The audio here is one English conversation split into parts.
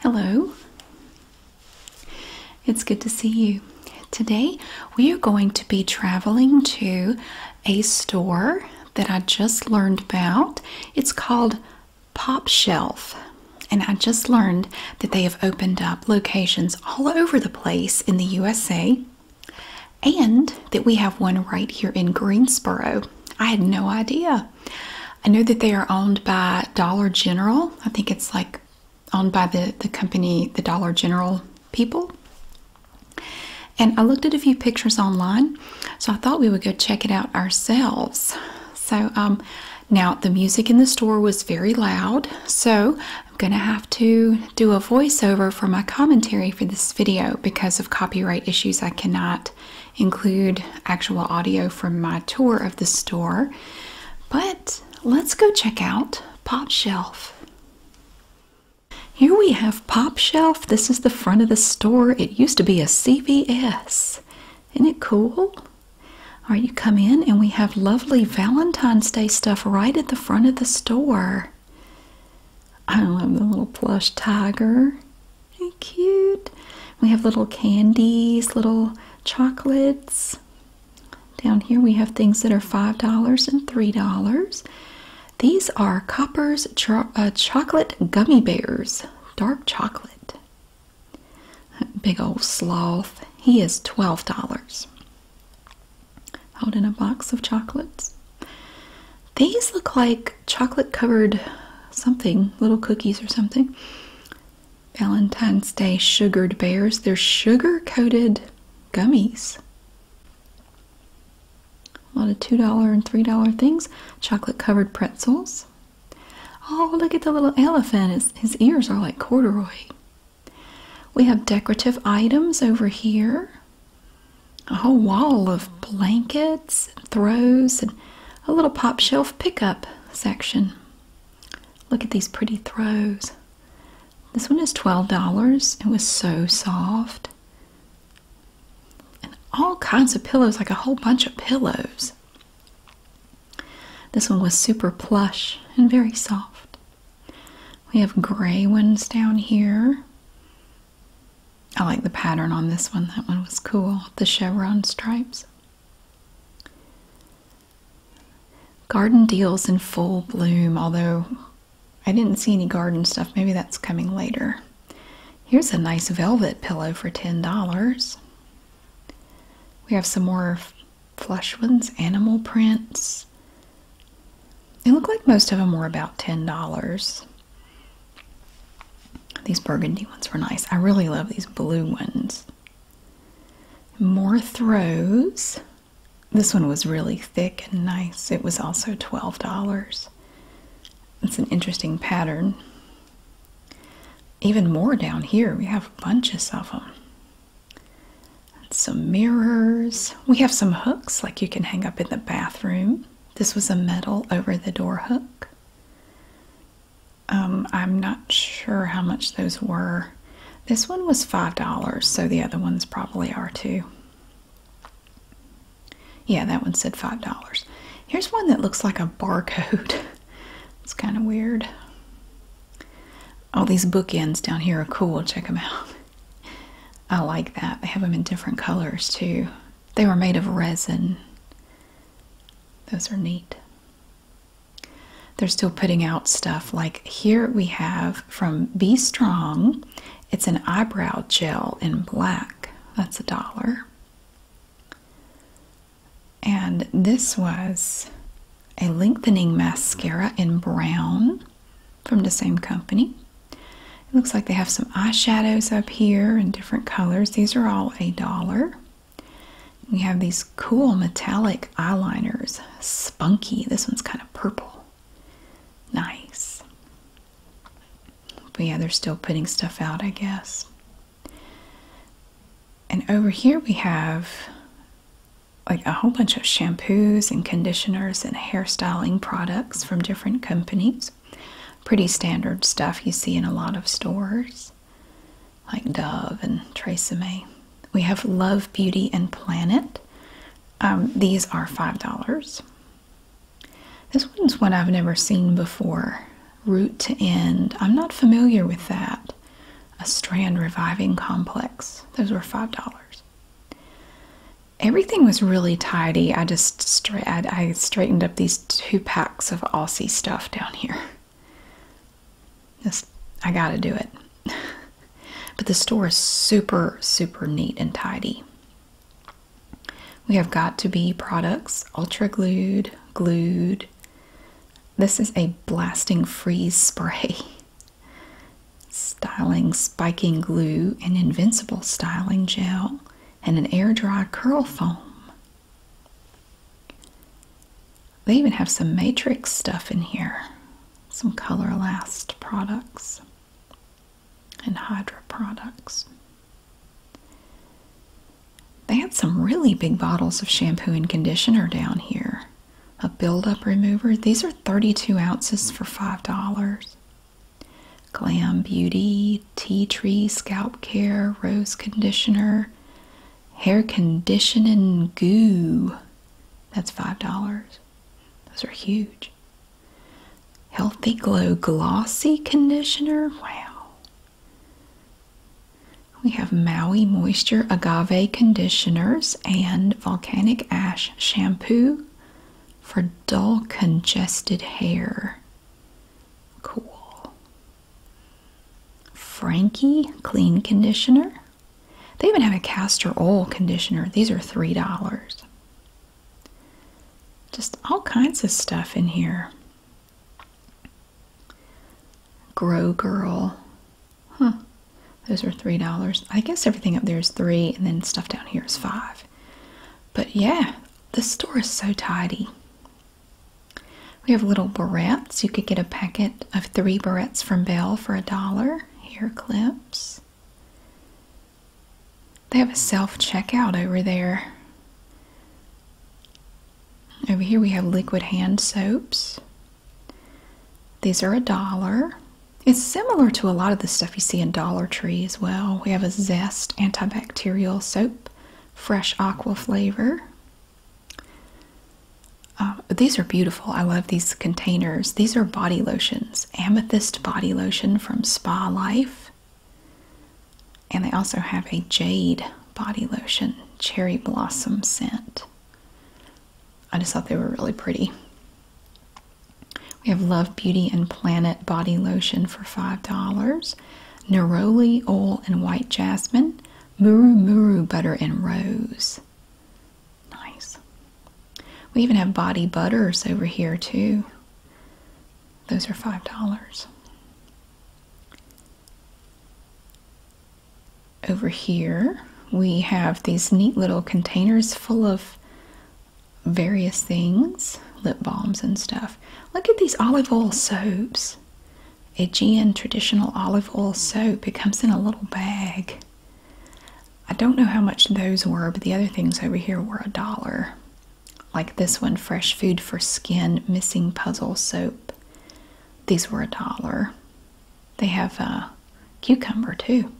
Hello, it's good to see you. Today we are going to be traveling to a store that I just learned about. It's called Pop Shelf, and I just learned that they have opened up locations all over the place in the USA and that we have one right here in Greensboro. I had no idea. I know that they are owned by Dollar General. I think it's like owned by the, the company, the Dollar General people. And I looked at a few pictures online, so I thought we would go check it out ourselves. So, um, now the music in the store was very loud, so I'm going to have to do a voiceover for my commentary for this video because of copyright issues. I cannot include actual audio from my tour of the store, but let's go check out Pop Shelf. Here we have Pop Shelf. This is the front of the store. It used to be a CVS. Isn't it cool? All right, you come in and we have lovely Valentine's Day stuff right at the front of the store. I love the little plush tiger cute. We have little candies, little chocolates. Down here we have things that are $5 and $3. These are Copper's uh, Chocolate Gummy Bears, dark chocolate. Big old sloth. He is $12. Out in a box of chocolates. These look like chocolate covered something, little cookies or something. Valentine's Day sugared bears. They're sugar coated gummies. A lot of $2 and $3 things. Chocolate covered pretzels. Oh, look at the little elephant. His, ears are like corduroy. We have decorative items over here. A whole wall of blankets and throws and a little pop shelf pickup section. Look at these pretty throws. This one is $12. It was so soft. And all kinds of pillows, like a whole bunch of pillows. This one was super plush and very soft. We have gray ones down here. I like the pattern on this one. That one was cool. The chevron stripes. Garden deals in full bloom, although I didn't see any garden stuff. Maybe that's coming later. Here's a nice velvet pillow for $10. We have some more flush ones, animal prints. They look like most of them were about $10. These burgundy ones were nice. I really love these blue ones. More throws. This one was really thick and nice. It was also $12. It's an interesting pattern. Even more down here, we have bunches of them. some mirrors. We have some hooks like you can hang up in the bathroom. This was a metal over the door hook. Um, I'm not sure how much those were. This one was $5, so the other ones probably are too. Yeah, that one said $5. Here's one that looks like a barcode. it's kind of weird. All these bookends down here are cool. Check them out. I like that. They have them in different colors too. They were made of resin. Those are neat. They're still putting out stuff like here we have from Be Strong. It's an eyebrow gel in black. That's a dollar. And this was a lengthening mascara in brown from the same company. It looks like they have some eyeshadows up here in different colors. These are all a dollar. We have these cool metallic eyeliners. Spunky. This one's kind of purple. Nice. But yeah, they're still putting stuff out, I guess. And over here we have like a whole bunch of shampoos and conditioners and hairstyling products from different companies. Pretty standard stuff you see in a lot of stores, like Dove and Tresemme. We have Love, Beauty, and Planet. Um, these are $5. This one's one I've never seen before. Root to End. I'm not familiar with that. A Strand Reviving Complex. Those were $5. Everything was really tidy. I just I straightened up these two packs of Aussie stuff down here. I gotta do it. but the store is super, super neat and tidy. We have got to be products, ultra glued, glued. This is a blasting freeze spray. Styling spiking glue, an invincible styling gel, and an air dry curl foam. They even have some Matrix stuff in here, some Color Last products and Hydra products. They had some really big bottles of shampoo and conditioner down here. A buildup remover. These are 32 ounces for $5. Glam Beauty, Tea Tree Scalp Care, Rose Conditioner, Hair Conditioning Goo. That's $5. Those are huge. Healthy Glow Glossy Conditioner. Wow. We have Maui Moisture Agave Conditioners and Volcanic Ash Shampoo for dull congested hair. Cool. Frankie clean conditioner. They even have a castor oil conditioner. These are $3. Just all kinds of stuff in here. Grow Girl. Huh. Those are $3. I guess everything up there is 3 and then stuff down here is 5. But yeah, the store is so tidy. We have little barrettes. You could get a packet of three barrettes from Bell for a dollar. Hair clips. They have a self checkout over there. Over here we have liquid hand soaps. These are a dollar. It's similar to a lot of the stuff you see in Dollar Tree as well. We have a Zest antibacterial soap fresh aqua flavor. Uh, these are beautiful. I love these containers. These are body lotions, amethyst body lotion from Spa Life. And they also have a jade body lotion, cherry blossom scent. I just thought they were really pretty. We have Love Beauty and Planet body lotion for $5 neroli oil and white jasmine, muru muru butter and rose. Nice. We even have body butters over here too. Those are five dollars. Over here, we have these neat little containers full of various things, lip balms and stuff. Look at these olive oil soaps. Aegean traditional olive oil soap. It comes in a little bag. I don't know how much those were, but the other things over here were a dollar. Like this one, Fresh Food for Skin Missing Puzzle Soap. These were a dollar. They have a uh, cucumber too.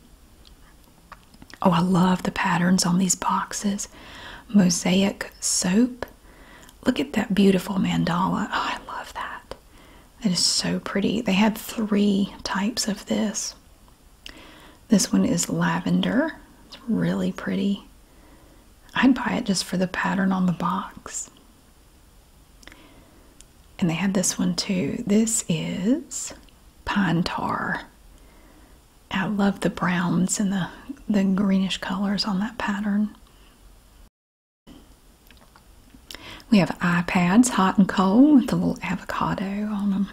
Oh, I love the patterns on these boxes. Mosaic soap. Look at that beautiful mandala. Oh, I love that. It is so pretty. They had three types of this. This one is lavender. It's really pretty. I'd buy it just for the pattern on the box. And they had this one too. This is pine tar. I love the browns and the, the greenish colors on that pattern. We have iPads, hot and cold, with a little avocado on them.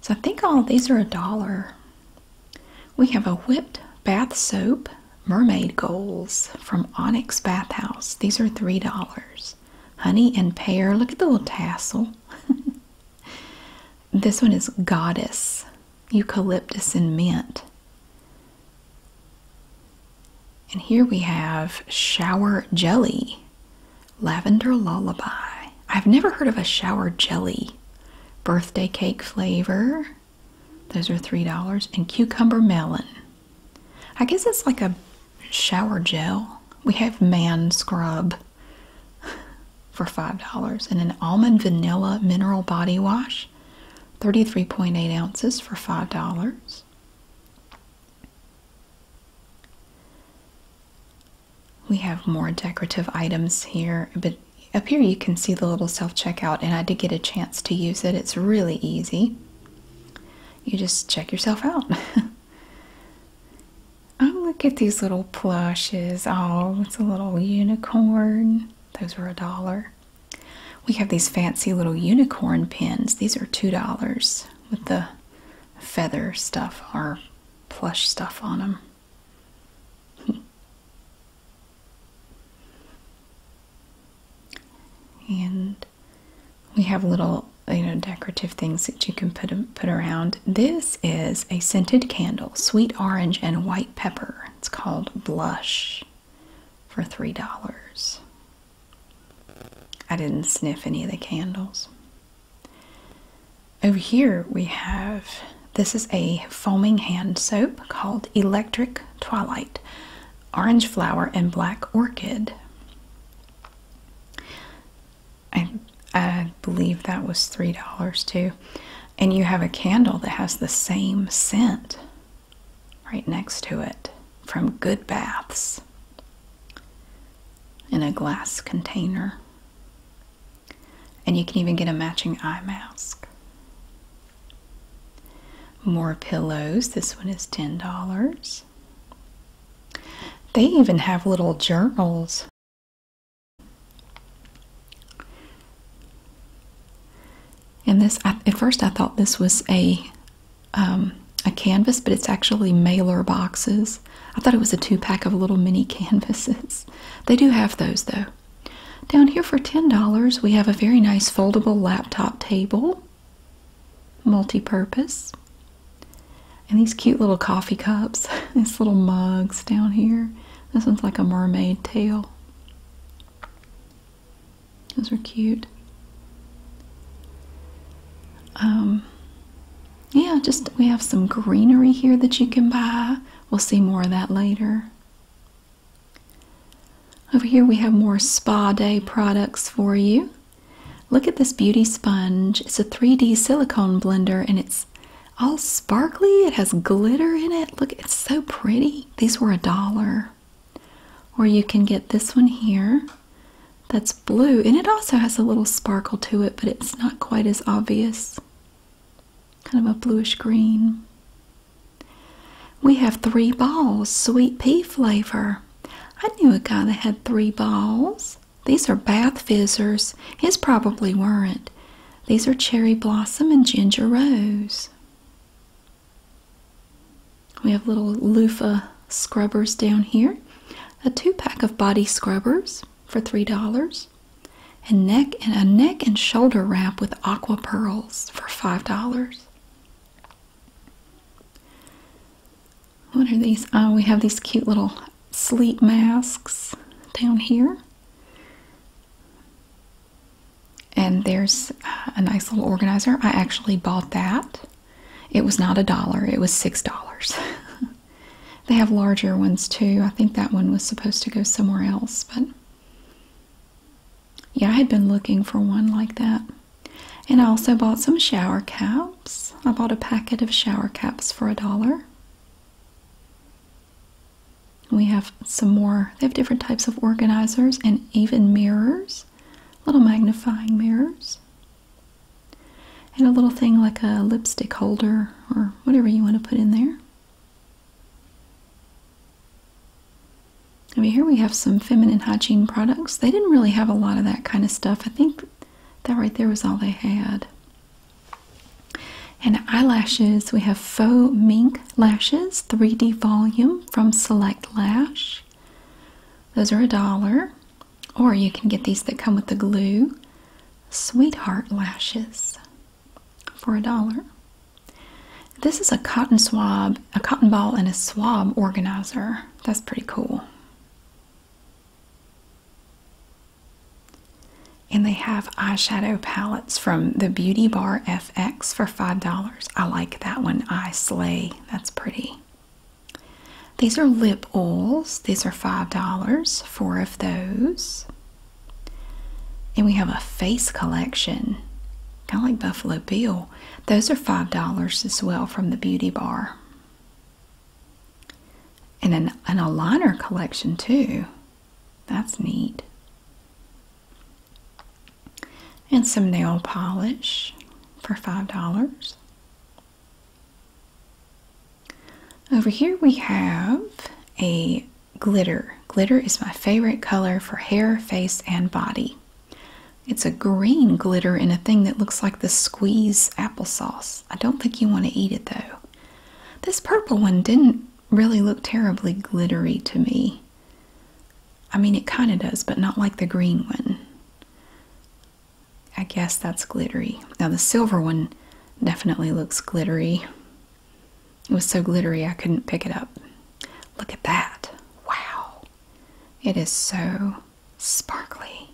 So I think all these are a dollar. We have a whipped bath soap, mermaid goals from Onyx Bathhouse. These are three dollars. Honey and pear. Look at the little tassel. this one is goddess eucalyptus and mint. And here we have shower jelly, lavender lullaby. I've never heard of a shower jelly. Birthday cake flavor. Those are $3. And cucumber melon. I guess it's like a shower gel. We have man scrub for $5 and an almond vanilla mineral body wash 33.8 ounces for $5 we have more decorative items here but up here you can see the little self-checkout and i did get a chance to use it it's really easy you just check yourself out oh look at these little plushes. Oh, it's a little unicorn. Those were a dollar. We have these fancy little unicorn pins. These are $2 with the feather stuff or plush stuff on them. And we have little, you know, decorative things that you can put put around. This is a scented candle, sweet orange and white pepper. It's called Blush for $3. I didn't sniff any of the candles. Over here we have this is a foaming hand soap called Electric Twilight, Orange Flower and Black Orchid. I, I believe that was $3 too and you have a candle that has the same scent right next to it from Good Baths in a glass container. And you can even get a matching eye mask. More pillows. This one is $10. They even have little journals and this, at first, I thought this was a um, a canvas, but it's actually mailer boxes. I thought it was a two pack of little mini canvases. They do have those though. Down here for $10, we have a very nice foldable laptop table, multi purpose, and these cute little coffee cups, these little mugs down here. This one's like a mermaid tail. Those are cute. Um, yeah, just we have some greenery here that you can buy. We'll see more of that later. Over here we have more spa day products for you. Look at this beauty sponge. It's a 3D silicone blender and it's all sparkly. It has glitter in it. Look, it's so pretty. These were a dollar. Or you can get this one here that's blue, and it also has a little sparkle to it, but it's not quite as obvious. Kind of a bluish green. We have three balls, sweet pea flavor. I knew a guy that had three balls. These are bath fizzers. His probably weren't. These are cherry blossom and ginger rose. We have little loofah scrubbers down here. A two pack of body scrubbers for $3. And neck and a neck and shoulder wrap with aqua pearls for $5. What are these? Oh, we have these cute little sleep masks down here. And there's uh, a nice little organizer. I actually bought that. It was not a dollar, it was six dollars. they have larger ones too. I think that one was supposed to go somewhere else, but yeah, I had been looking for one like that. And I also bought some shower caps. I bought a packet of shower caps for a dollar. We have some more, they have different types of organizers and even mirrors, little magnifying mirrors, and a little thing like a lipstick holder or whatever you want to put in there. Over here we have some feminine hygiene products. They didn't really have a lot of that kind of stuff. I think that right there was all they had. And eyelashes, we have Faux Mink Lashes 3D Volume from Select Lash. Those are a dollar. Or you can get these that come with the glue. Sweetheart Lashes for a dollar. This is a cotton swab, a cotton ball, and a swab organizer. That's pretty cool. And they have eyeshadow palettes from the Beauty Bar FX for $5. I like that one, I Slay. That's pretty. These are lip oils. These are $5, four of those. And we have a face collection, kind of like Buffalo Bill. Those are $5 as well from the Beauty Bar. And an, an, aligner collection too. That's neat. And some nail polish for $5. Over here we have a glitter. Glitter is my favorite color for hair, face, and body. It's a green glitter in a thing that looks like the squeeze applesauce. I don't think you want to eat it though. This purple one didn't really look terribly glittery to me. I mean, it kind of does, but not like the green one. I guess that's glittery. Now, the silver one definitely looks glittery. It was so glittery I couldn't pick it up. Look at that. Wow. It is so sparkly.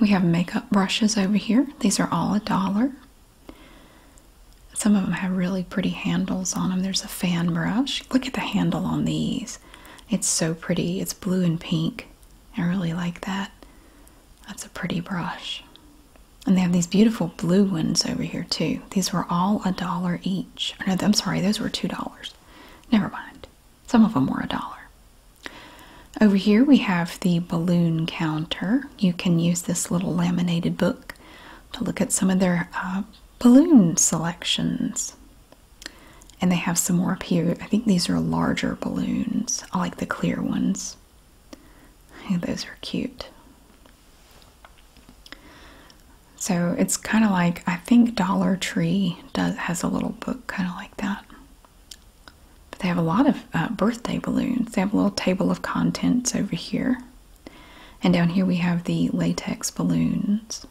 We have makeup brushes over here. These are all a dollar. Some of them have really pretty handles on them. There's a fan brush. Look at the handle on these. It's so pretty. It's blue and pink. I really like that. That's a pretty brush. And they have these beautiful blue ones over here too. These were all a dollar each. Oh, no, I'm sorry, those were two dollars. Never mind. Some of them were a dollar. Over here we have the balloon counter. You can use this little laminated book to look at some of their uh, balloon selections. And they have some more up here. I think these are larger balloons. I like the clear ones. those are cute. So it's kind of like I think Dollar Tree does has a little book kind of like that. But they have a lot of uh, birthday balloons. They have a little table of contents over here. And down here we have the latex balloons.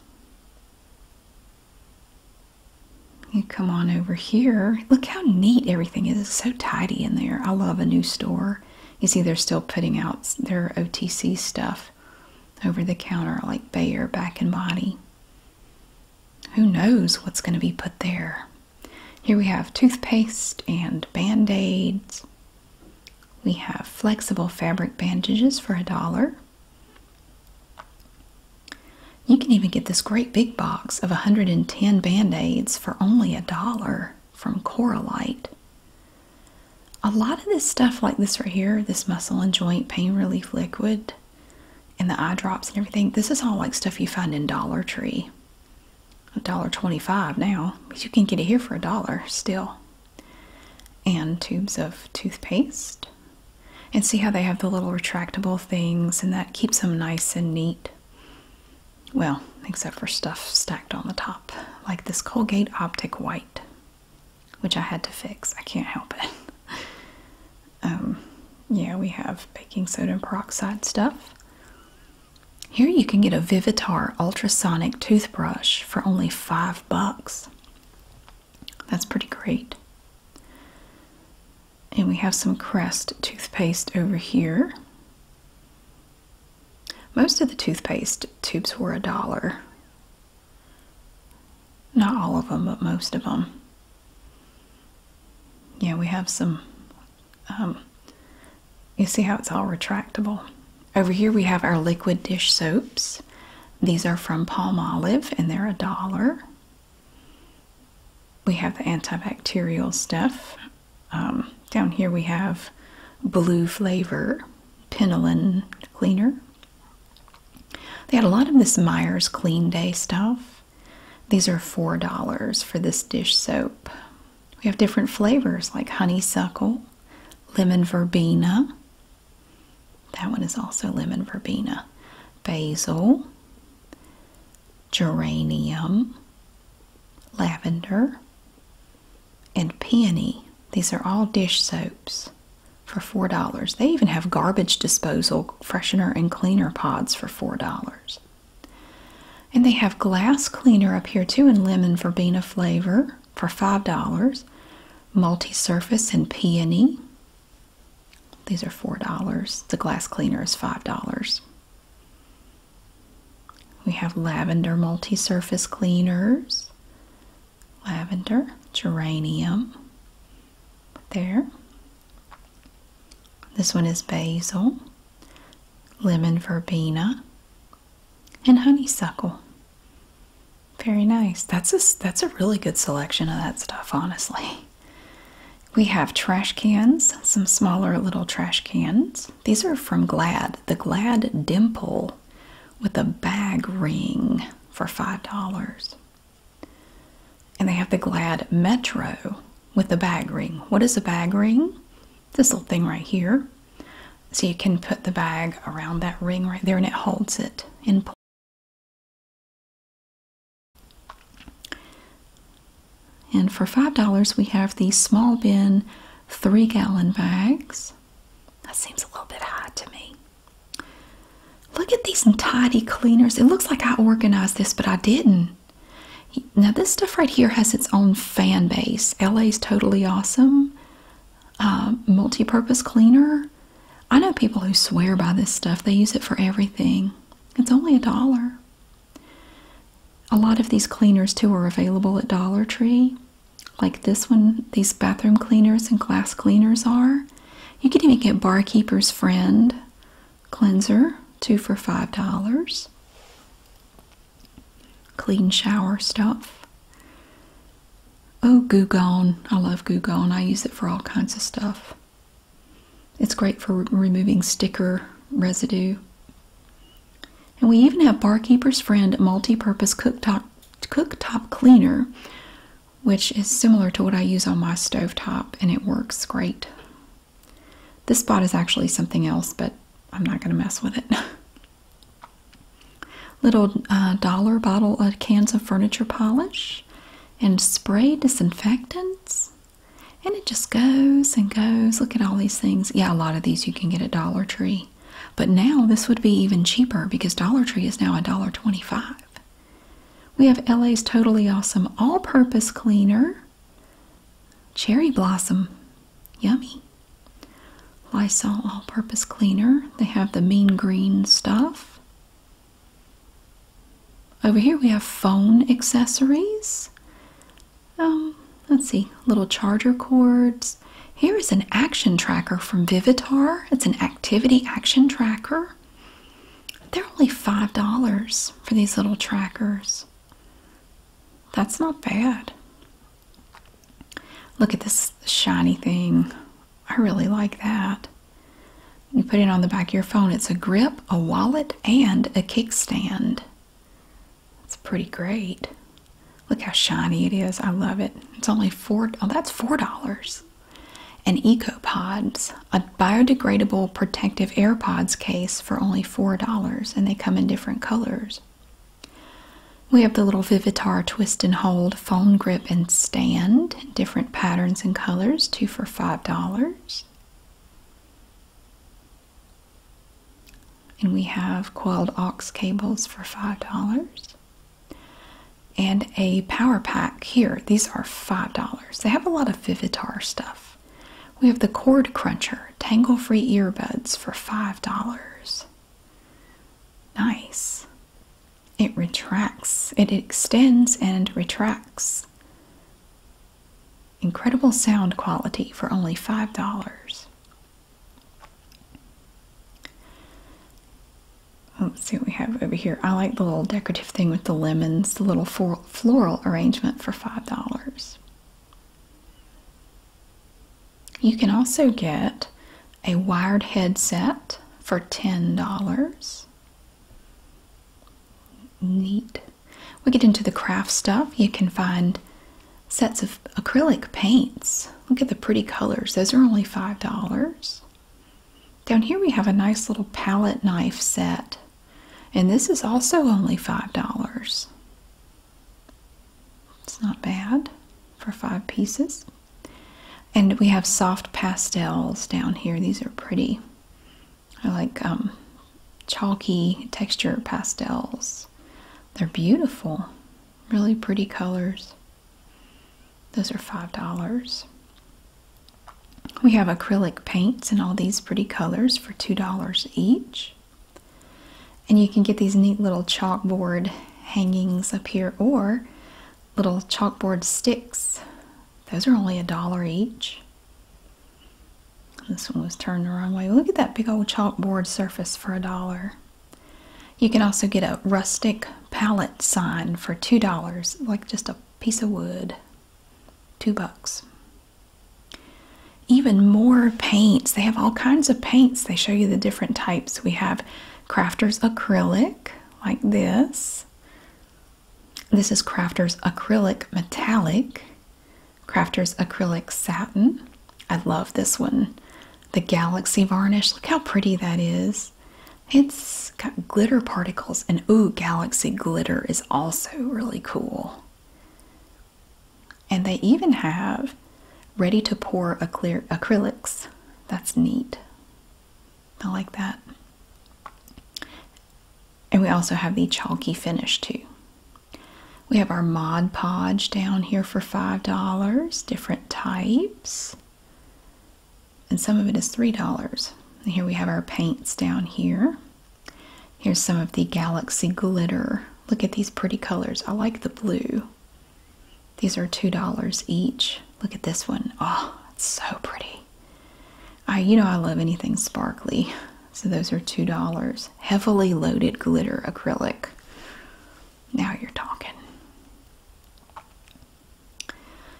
You come on over here. Look how neat everything is. It's so tidy in there. I love a new store. You see they're still putting out their OTC stuff over the counter like Bayer Back and Body who knows what's going to be put there? Here we have toothpaste and band aids. We have flexible fabric bandages for a dollar. You can even get this great big box of 110 band aids for only a dollar from Coralite. A lot of this stuff, like this right here, this muscle and joint pain relief liquid, and the eye drops and everything. This is all like stuff you find in Dollar Tree. $1.25 now, but you can get it here for a dollar still. And tubes of toothpaste. And see how they have the little retractable things, and that keeps them nice and neat. Well, except for stuff stacked on the top, like this Colgate Optic White, which I had to fix. I can't help it. Um, yeah, we have baking soda and peroxide stuff. Here you can get a Vivitar ultrasonic toothbrush for only five bucks. That's pretty great. And we have some Crest toothpaste over here. Most of the toothpaste tubes were a dollar. Not all of them, but most of them. Yeah, we have some. Um, you see how it's all retractable? Over here we have our liquid dish soaps. These are from Palm Olive and they're a dollar. We have the antibacterial stuff. Um, down here we have blue flavor, Penolin cleaner. They had a lot of this Myers Clean Day stuff. These are $4 for this dish soap. We have different flavors like honeysuckle, lemon verbena. That one is also lemon verbena. Basil, geranium, lavender, and peony. These are all dish soaps for $4. They even have garbage disposal, freshener, and cleaner pods for $4. And they have glass cleaner up here too in lemon verbena flavor for $5. Multi surface and peony. These are $4. The glass cleaner is $5. We have lavender multi surface cleaners, lavender, geranium, there, this one is basil, lemon verbena, and honeysuckle. Very nice. That's a that's a really good selection of that stuff, honestly. We have trash cans, some smaller little trash cans. These are from Glad, the Glad Dimple with a bag ring for $5. And they have the Glad Metro with the bag ring. What is a bag ring? This little thing right here. So you can put the bag around that ring right there and it holds it in place. And for $5, we have these small bin three gallon bags. That seems a little bit high to me. Look at these tidy cleaners. It looks like I organized this, but I didn't. Now, this stuff right here has its own fan base. LA is totally awesome. Uh, Multi purpose cleaner. I know people who swear by this stuff, they use it for everything. It's only a dollar. A lot of these cleaners, too, are available at Dollar Tree. Like this one, these bathroom cleaners and glass cleaners are. You can even get Barkeeper's Friend cleanser, two for $5. Clean shower stuff. Oh, Goo Gone. I love Goo Gone. I use it for all kinds of stuff. It's great for removing sticker residue. And we even have Barkeeper's Friend multi-purpose cooktop, cooktop cleaner which is similar to what I use on my stove top, and it works great. This spot is actually something else, but I'm not going to mess with it. Little uh, dollar bottle of cans of furniture polish and spray disinfectants. And it just goes and goes. Look at all these things. Yeah, a lot of these you can get at Dollar Tree. But now this would be even cheaper because Dollar Tree is now a dollar twenty-five. We have LA's Totally Awesome All Purpose Cleaner, Cherry Blossom, yummy. Lysol All Purpose Cleaner, they have the mean green stuff. Over here we have phone accessories. Um, let's see, little charger cords. Here is an action tracker from Vivitar. It's an activity action tracker. They're only $5 for these little trackers. That's not bad. Look at this shiny thing. I really like that. You put it on the back of your phone. It's a grip, a wallet, and a kickstand. It's pretty great. Look how shiny it is. I love it. It's only four. Oh, that's four dollars and EcoPods, a biodegradable protective AirPods case for only $4, and they come in different colors. We have the little Vivitar twist and hold phone grip and stand, different patterns and colors, two for $5. And we have coiled aux cables for $5 and a power pack here. These are $5. They have a lot of Vivitar stuff. We have the Cord Cruncher Tangle Free Earbuds for $5. Nice. It retracts, it extends and retracts. Incredible sound quality for only $5. Oh, let's see what we have over here. I like the little decorative thing with the lemons, the little floral arrangement for $5. You can also get a wired headset for $10. Neat. We get into the craft stuff. You can find sets of acrylic paints. Look at the pretty colors. Those are only $5. Down here we have a nice little palette knife set. And this is also only $5. It's not bad for five pieces. And we have soft pastels down here. These are pretty. I like um, chalky texture pastels. They're beautiful. Really pretty colors. Those are $5. We have acrylic paints in all these pretty colors for $2 each. And you can get these neat little chalkboard hangings up here or little chalkboard sticks. Those are only a dollar each. This one was turned the wrong way. Look at that big old chalkboard surface for a dollar. You can also get a rustic palette sign for $2, like just a piece of wood. Two bucks. Even more paints. They have all kinds of paints. They show you the different types. We have Crafters acrylic, like this. This is Crafters acrylic metallic. Crafters acrylic satin. I love this one. The galaxy varnish. Look how pretty that is. It's got glitter particles, and ooh, galaxy glitter is also really cool. And they even have ready to pour acryl acrylics. That's neat. I like that. And we also have the chalky finish too. We have our Mod Podge down here for $5, different types and some of it is $3. here we have our paints down here. Here's some of the Galaxy Glitter. Look at these pretty colors. I like the blue. These are $2 each. Look at this one. Oh, it's so pretty. I, you know I love anything sparkly. So those are $2. Heavily loaded glitter acrylic. Now you're talking.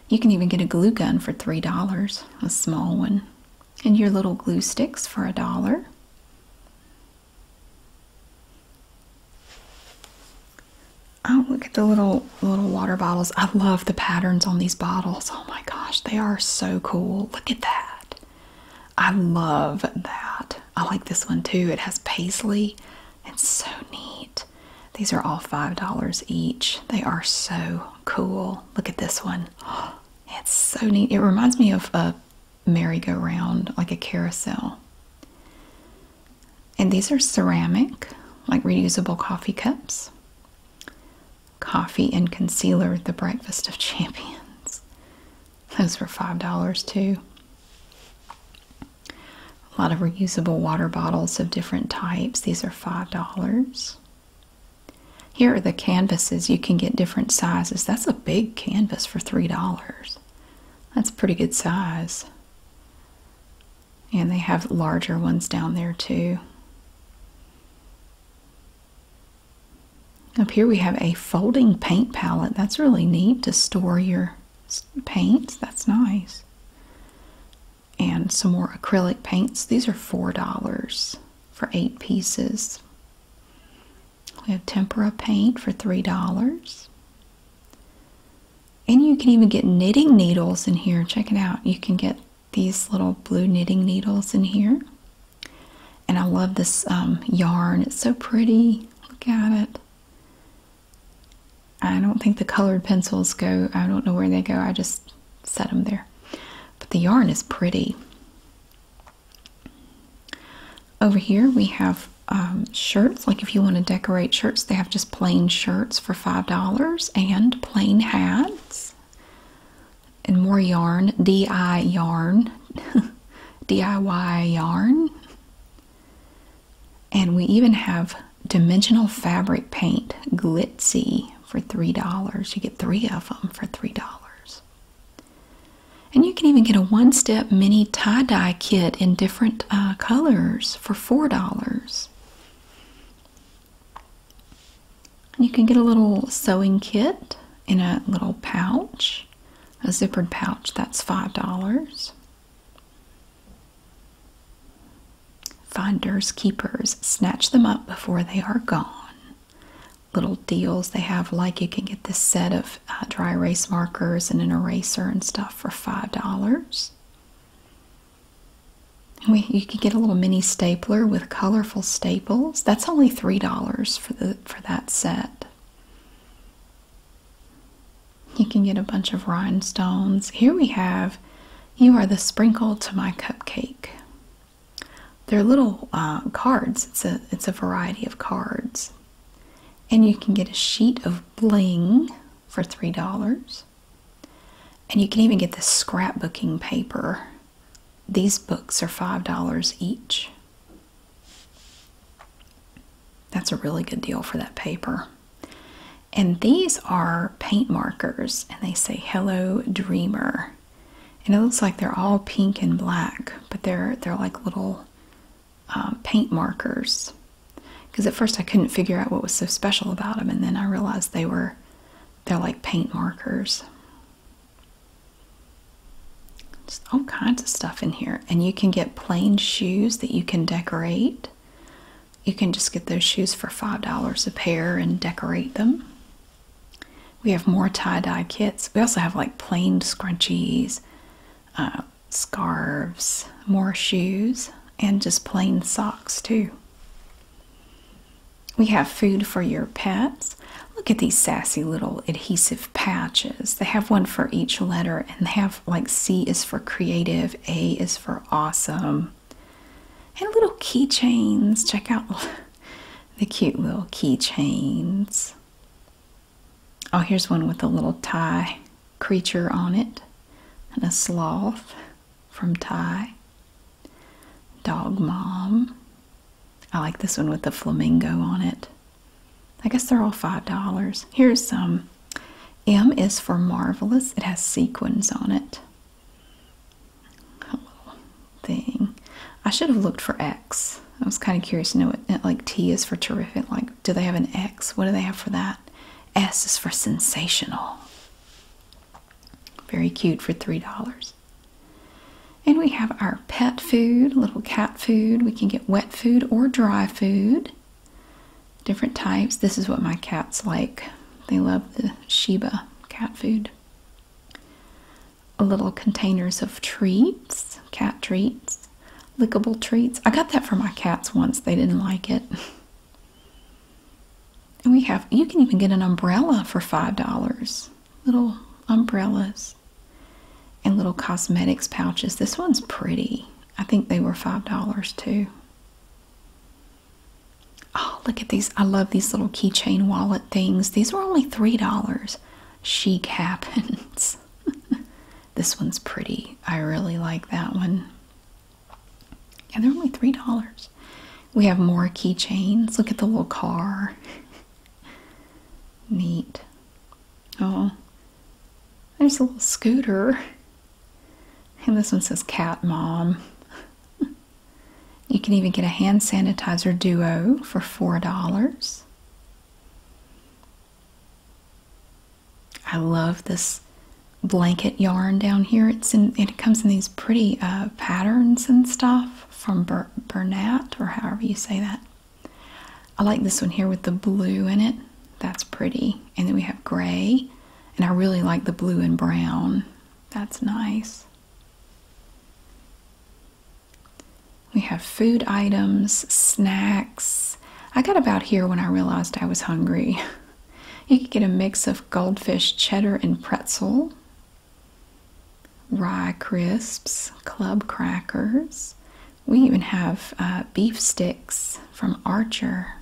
You can even get a glue gun for $3, a small one, and your little glue sticks for a dollar. Oh, look at the little little water bottles. I love the patterns on these bottles. Oh my gosh, they are so cool. Look at that. I love that. I like this one too. It has paisley it's so neat. These are all $5 each. They are so cool. Look at this one. It's so neat. It reminds me of a merry-go-round, like a carousel. And these are ceramic, like reusable coffee cups. Coffee and concealer, the breakfast of champions. Those were $5 too. A lot of reusable water bottles of different types. These are $5. Here are the canvases. You can get different sizes. That's a big canvas for $3. That's a pretty good size. And they have larger ones down there too. Up here we have a folding paint palette. That's really neat to store your paints. That's nice and some more acrylic paints. These are $4 for eight pieces. We have tempera paint for $3. And you can even get knitting needles in here. Check it out. You can get these little blue knitting needles in here. And I love this um, yarn. It's so pretty. Look at it. I don't think the colored pencils go, I don't know where they go, I just set them there. But the yarn is pretty. Over here we have um, shirts, like if you want to decorate shirts, they have just plain shirts for $5 and plain hats and more yarn, DI yarn, DIY yarn. And we even have dimensional fabric paint, glitzy, for $3. You get three of them for $3. And you can even get a one step mini tie dye kit in different uh, colors for $4. You can get a little sewing kit in a little pouch, a zippered pouch, that's $5. Finders, keepers, snatch them up before they are gone. Little deals they have, like you can get this set of uh, dry erase markers and an eraser and stuff for five dollars. You can get a little mini stapler with colorful staples. That's only three dollars for the for that set. You can get a bunch of rhinestones. Here we have You Are the Sprinkle to My Cupcake. They're little uh, cards, it's a, it's a variety of cards. And you can get a sheet of bling for $3. And you can even get the scrapbooking paper. These books are $5 each. That's a really good deal for that paper. And these are paint markers, and they say Hello Dreamer. And it looks like they're all pink and black, but they're they're like little uh, paint markers. Because at first I couldn't figure out what was so special about them, and then I realized they were they're like paint markers. all kinds of stuff in here, and you can get plain shoes that you can decorate you can just get those shoes for $5 a pair and decorate them. We have more tie dye kits. We also have like plain scrunchies, uh, scarves, more shoes, and just plain socks too. We have food for your pets. Look at these sassy little adhesive patches. They have one for each letter and they have like C is for creative, A is for awesome. And little keychains. Check out the cute little keychains. Oh, here's one with a little tie creature on it and a sloth from Thai. Dog Mom. I like this one with the flamingo on it. I guess they're all $5. Here's some M is for marvelous. It has sequins on it. A thing. I should have looked for X. I was kind of curious to know what uh, like T is for terrific. Like, do they have an X? What do they have for that? S is for sensational. Very cute for three dollars. And we have our pet food, little cat food. We can get wet food or dry food different types. This is what my cats like. They love the Shiba cat food. A Little containers of treats, cat treats, lickable treats. I got that for my cats once. They didn't like it. And we have, you can even get an umbrella for $5. Little umbrellas and little cosmetics pouches. This one's pretty. I think they were $5 too. Oh, look at these. I love these little keychain wallet things. These were only $3. Chic happens. this one's pretty. I really like that one. Yeah, they're only $3. We have more keychains. Look at the little car. Neat. Oh, there's a little scooter. And this one says Cat Mom. you can even get a hand sanitizer duo for $4. I love this blanket yarn down here. It's in, it comes in these pretty uh, patterns and stuff from Bur Bernat or however you say that. I like this one here with the blue in it. That's pretty. And then we have gray and I really like the blue and brown. That's nice. We have food items, snacks. I got about here when I realized I was hungry. you could get a mix of goldfish cheddar and pretzel, rye crisps, club crackers. We even have uh, beef sticks from Archer.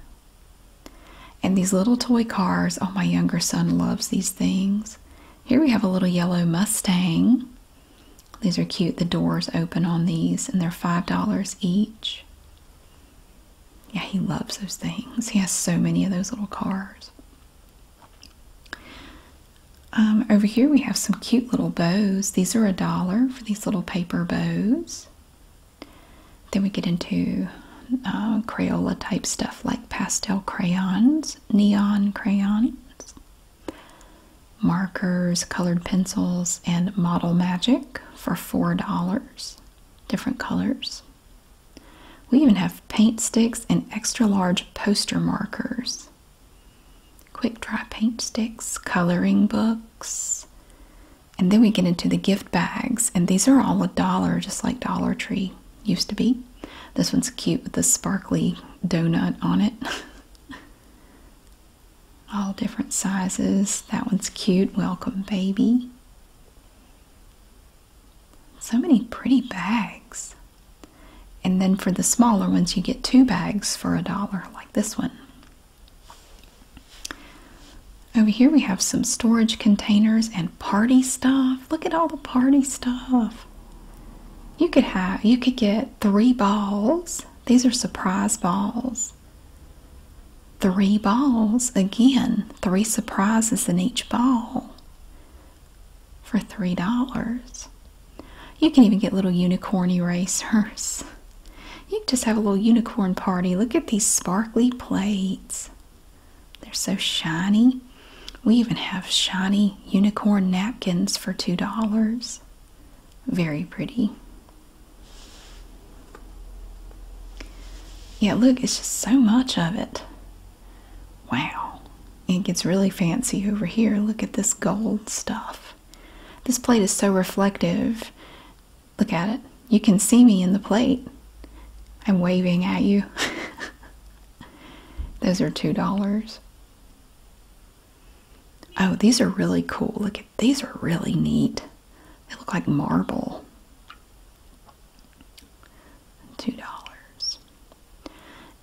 And these little toy cars, oh, my younger son loves these things. Here we have a little yellow Mustang. These are cute. The doors open on these, and they're $5 each. Yeah, he loves those things. He has so many of those little cars. Um, over here we have some cute little bows. These are a dollar for these little paper bows. Then we get into uh, Crayola type stuff like pastel crayons, neon crayons, markers, colored pencils, and model magic for $4, different colors. We even have paint sticks and extra large poster markers, quick dry paint sticks, coloring books, and then we get into the gift bags, and these are all a dollar, just like Dollar Tree used to be. This one's cute with the sparkly donut on it. all different sizes. That one's cute. Welcome, baby. So many pretty bags. And then for the smaller ones, you get two bags for a dollar, like this one. Over here we have some storage containers and party stuff. Look at all the party stuff. You could have you could get three balls. These are surprise balls. Three balls again, three surprises in each ball for $3. You can even get little unicorn erasers. You just have a little unicorn party. Look at these sparkly plates. They're so shiny. We even have shiny unicorn napkins for $2. Very pretty. Yeah, look, it's just so much of it. Wow. It gets really fancy over here. Look at this gold stuff. This plate is so reflective Look at it. You can see me in the plate. I'm waving at you. Those are $2. Oh, these are really cool. Look at these are really neat. They look like marble. $2.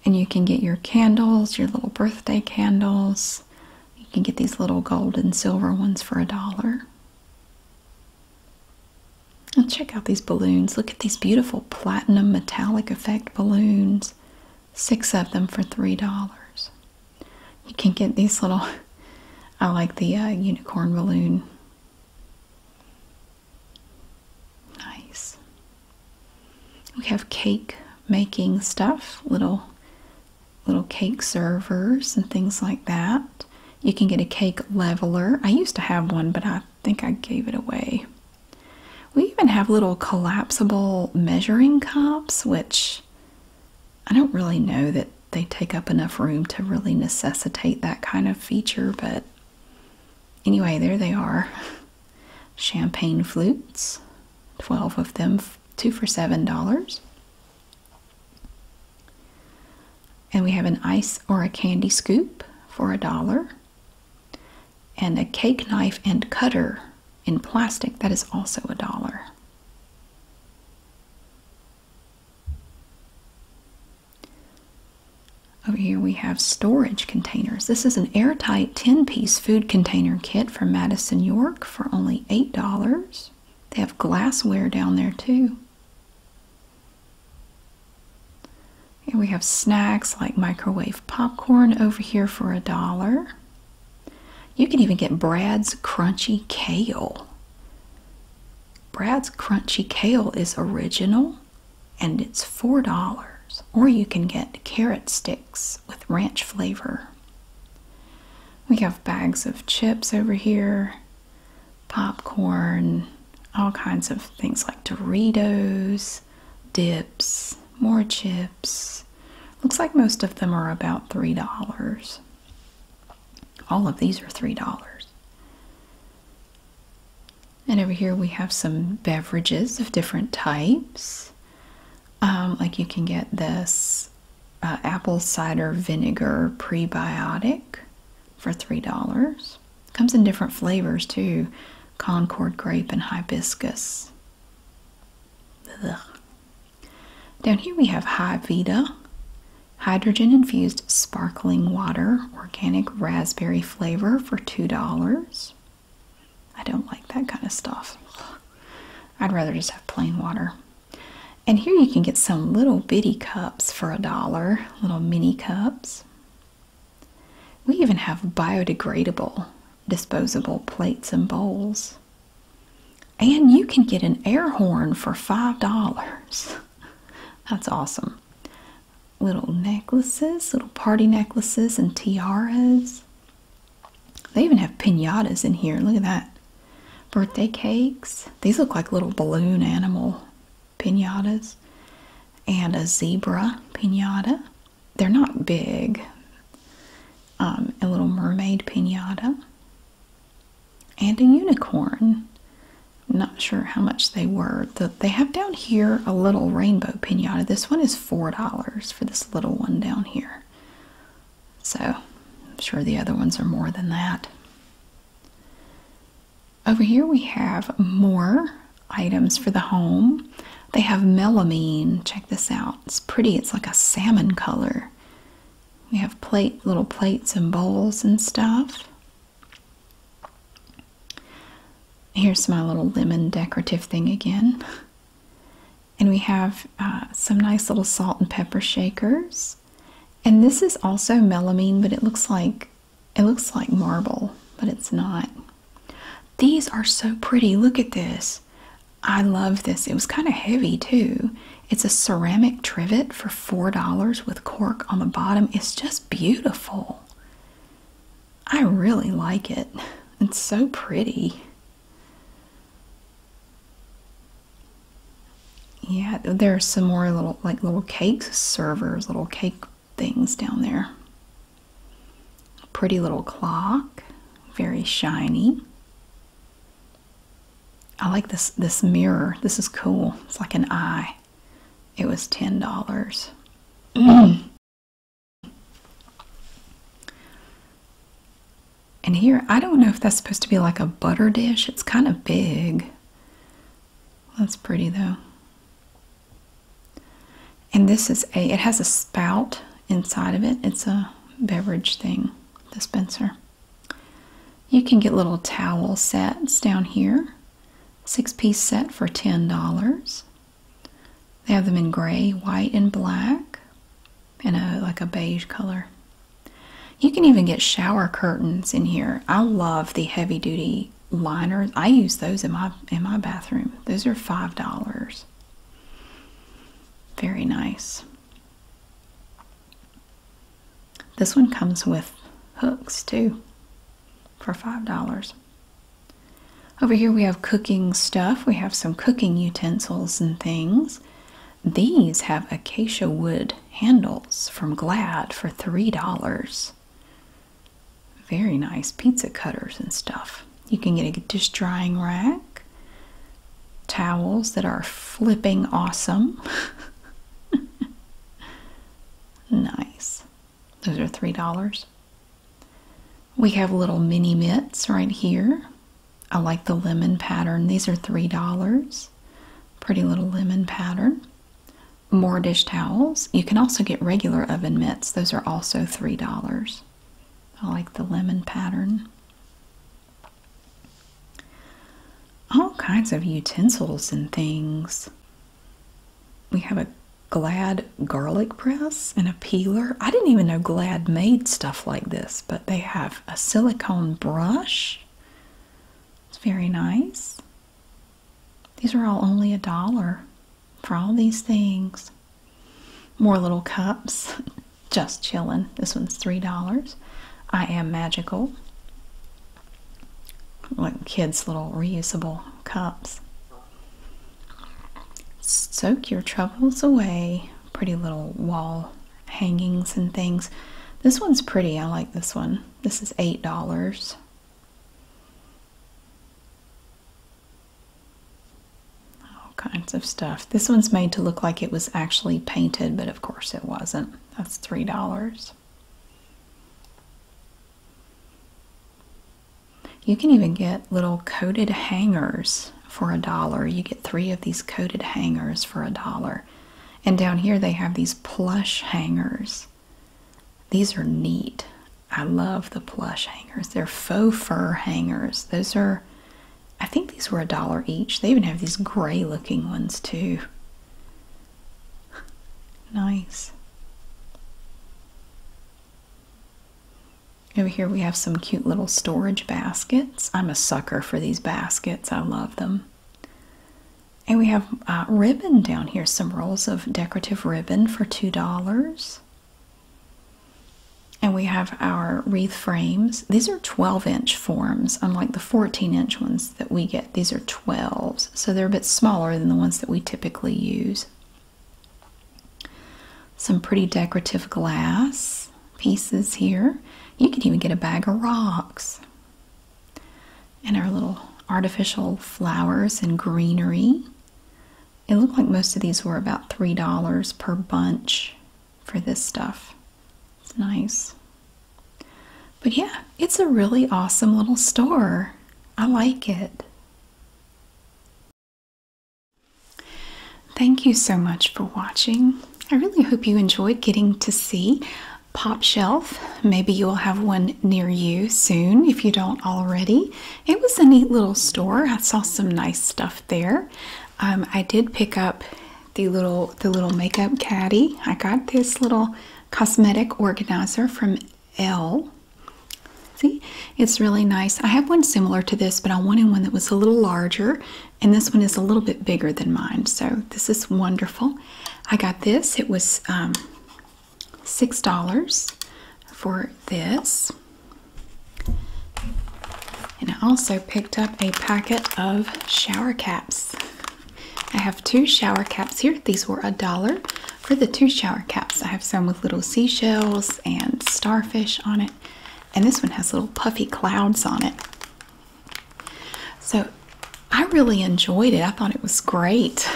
And you can get your candles, your little birthday candles. You can get these little gold and silver ones for a dollar. And check out these balloons. Look at these beautiful platinum metallic effect balloons. Six of them for three dollars. You can get these little, I like the uh, unicorn balloon. Nice. We have cake making stuff, little little cake servers and things like that. You can get a cake leveler. I used to have one, but I think I gave it away. We even have little collapsible measuring cups, which I don't really know that they take up enough room to really necessitate that kind of feature, but anyway, there they are. Champagne flutes, 12 of them, two for $7. And we have an ice or a candy scoop for a dollar. And a cake knife and cutter in plastic that is also a dollar. Over here we have storage containers. This is an airtight 10-piece food container kit from Madison, York for only $8. They have glassware down there too. And we have snacks like microwave popcorn over here for a dollar. You can even get Brad's Crunchy Kale. Brad's Crunchy Kale is original and it's $4. Or you can get carrot sticks with ranch flavor. We have bags of chips over here, popcorn, all kinds of things like Doritos, dips, more chips. Looks like most of them are about $3. All of these are $3. And over here we have some beverages of different types. Um, like you can get this uh, apple cider vinegar prebiotic for $3. Comes in different flavors too Concord grape and hibiscus. Down here we have High hydrogen infused sparkling water, organic raspberry flavor for $2. I don't like that kind of stuff. I'd rather just have plain water. And here you can get some little bitty cups for a dollar, little mini cups. We even have biodegradable, disposable plates and bowls. And you can get an air horn for $5. That's awesome. Little necklaces, little party necklaces and tiaras. They even have pinatas in here. Look at that. Birthday cakes. These look like little balloon animal pinatas. And a zebra pinata. They're not big. Um, a little mermaid pinata. And a unicorn. not sure how much they were. they have down here a little rainbow pinata. This one is $4 for this little one down here. So, I'm sure the other ones are more than that. Over here we have more items for the home. They have melamine. Check this out. It's pretty. It's like a salmon color. We have plate, little plates and bowls and stuff. Here's my little lemon decorative thing again and we have uh, some nice little salt and pepper shakers and this is also melamine but it looks like it looks like marble but it's not these are so pretty look at this i love this it was kind of heavy too it's a ceramic trivet for four dollars with cork on the bottom it's just beautiful i really like it it's so pretty yeah, there are some more little like little cake servers, little cake things down there. Pretty little clock, very shiny. I like this this mirror. This is cool. It's like an eye. It was ten dollars. And here, I don't know if that's supposed to be like a butter dish. It's kind of big. That's pretty though. And this is a, it has a spout inside of it. It's a beverage thing, dispenser. You can get little towel sets down here. Six piece set for $10. They have them in gray, white, and black in a like a beige color. You can even get shower curtains in here. I love the heavy duty liners. I use those in my in my bathroom. Those are five dollars. Very nice. This one comes with hooks too for five dollars. Over here we have cooking stuff. We have some cooking utensils and things. These have acacia wood handles from Glad for $3. Very nice pizza cutters and stuff. You can get a dish drying rack, towels that are flipping awesome. nice. Those are $3. We have little mini mitts right here. I like the lemon pattern. These are $3. Pretty little lemon pattern. More dish towels. You can also get regular oven mitts. Those are also $3. I like the lemon pattern. All kinds of utensils and things. We have a Glad garlic press and a peeler. I didn't even know Glad made stuff like this, but they have a silicone brush. It's very nice. These are all only a dollar for all these things. More little cups. Just chilling. This one's $3. I am magical. Look, kids' little reusable cups. Soak your troubles away. Pretty little wall hangings and things. This one's pretty. I like this one. This is $8. All kinds of stuff. This one's made to look like it was actually painted, but of course it wasn't. That's $3. You can even get little coated hangers for a dollar. You get three of these coated hangers for a dollar. And down here they have these plush hangers. These are neat. I love the plush hangers. They're faux fur hangers. Those are, I think these were a dollar each. They even have these gray looking ones too. Nice. Over here we have some cute little storage baskets. I'm a sucker for these baskets. I love them. And we have uh, ribbon down here, some rolls of decorative ribbon for $2. And we have our wreath frames. These are 12 inch forms, unlike the 14 inch ones that we get. These are 12s, so they're a bit smaller than the ones that we typically use some pretty decorative glass pieces here. You can even get a bag of rocks. And our little artificial flowers and greenery. It looked like most of these were about $3 per bunch for this stuff. It's nice. But yeah, it's a really awesome little store. I like it. Thank you so much for watching. I really hope you enjoyed getting to see Pop Shelf. Maybe you'll have one near you soon if you don't already. It was a neat little store. I saw some nice stuff there. Um, I did pick up the little the little makeup caddy. I got this little cosmetic organizer from L. See, it's really nice. I have one similar to this, but I wanted one that was a little larger and this one is a little bit bigger than mine so this is wonderful i got this it was um, six dollars for this and i also picked up a packet of shower caps i have two shower caps here these were a dollar for the two shower caps i have some with little seashells and starfish on it and this one has little puffy clouds on it. So I really enjoyed it. I thought it was great.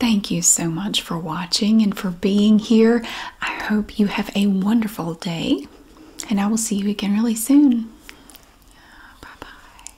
Thank you so much for watching and for being here. I hope you have a wonderful day, and I will see you again really soon. Bye bye.